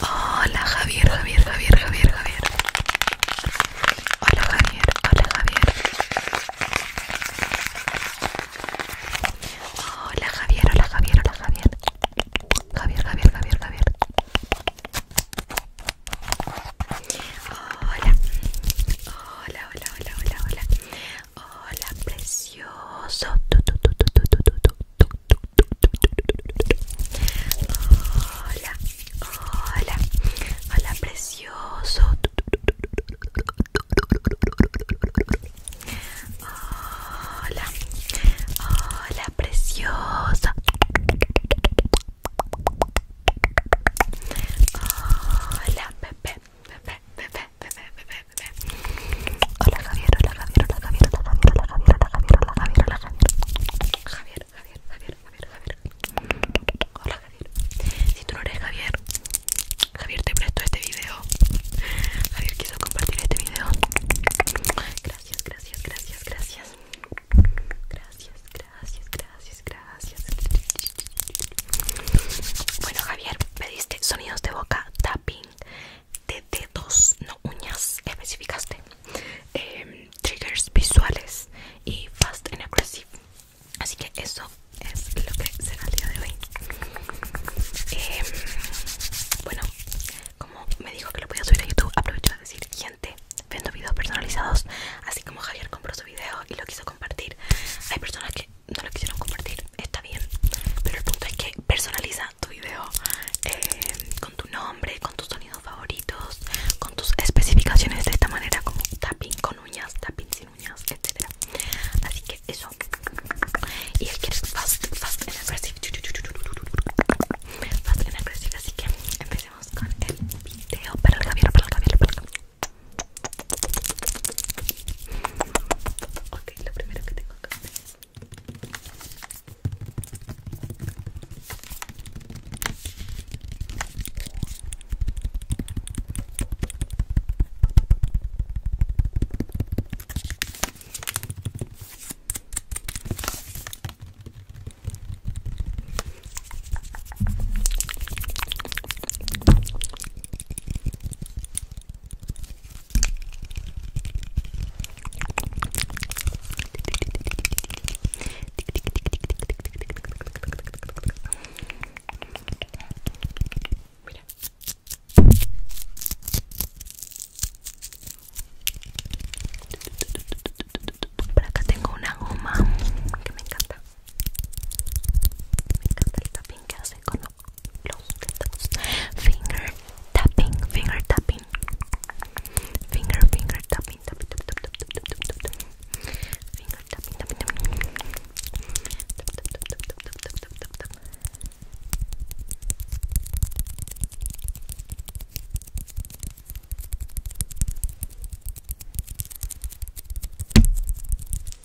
Hola Javier, Javier, Javier, Javier, Javier. Hola Javier, hola Javier. Hola Javier, hola Javier, hola Javier. Javier, Javier, Javier, Javier. Hola. Hola, hola, hola, hola, hola. Hola, precioso. Hola, hola. Hola, precioso. Hola, hola, preciosa. Hola, bebé bebe bebe bebe bebe bebé. Hola Javier, hola Javier, hola Javier, hola Javier, hola Javier, hola Javier, hola Javier, hola Javier. Javier, Javier, Javier, Javier, Javier. Hola Javier. Si tú no eres Javier, Javier te presto este video. Javier quiso compartir este video. Gracias, gracias, gracias, gracias. Gracias, gracias, gracias, gracias. Bueno, Javier, me sonidos de boca, tapping de dedos, no uñas, especificaste. Em, triggers visuales y fast and aggressive. Así que eso es lo que será el día de hoy. Em, bueno, como me dijo que lo podía subir a YouTube, aprovecho para decir, gente, vendo videos personalizados, así como Javier compró su video y lo quiso compartir. Hay personas que no lo quisieron compartir, está bien. Pero el punto es que personaliza tu video eh, con tu nombre, con tus sonidos favoritos, con tus especificaciones de esta manera, como tapping con uñas, tapping sin uñas, Etcétera, Así que eso. Y él quiere fast, fast and aggressive. Fast and aggressive. Así que empecemos con el video. Para el cabello, para el cabello, para el Ok, lo primero que tengo acá Mira. Por acá tengo una goma que me encanta. Me encanta el tapping que hace con los dedos. Finger tapping, finger tapping. Finger, finger tapping, tapping, tapping, tapping, tapping, tapping, tapping. Finger tapping, tapping, tapping. Tap, tap, tap, tap, tap, tap, tap, tap, tap. Finger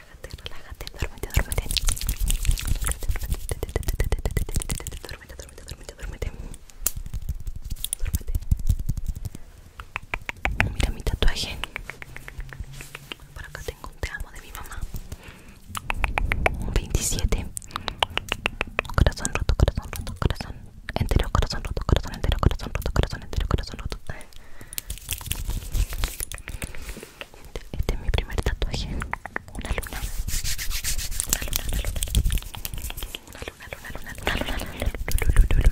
relájate, relájate, duérmete, duérmete. Duérmete, duérmete, duérmete, duérmete. Mira mi tatuaje. Por acá tengo un te amo de mi mamá. 27. Corazón roto, corazón roto, corazón entero, corazón roto, corazón entero, corazón roto, corazón entero, corazón roto. Este, es mi primer tatuaje. Una luna. Una luna, una luna. Una luna, luna, luna, luna, luna, luna,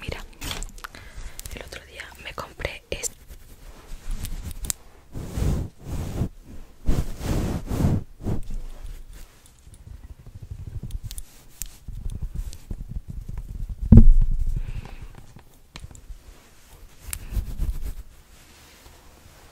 Mira, el otro día me compré este.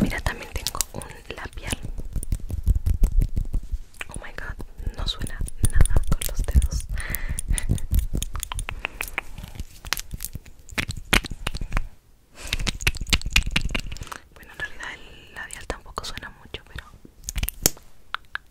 Mira, también tengo un labial. Oh my god, no suena nada con los dedos. Bueno, en realidad el labial tampoco suena mucho, pero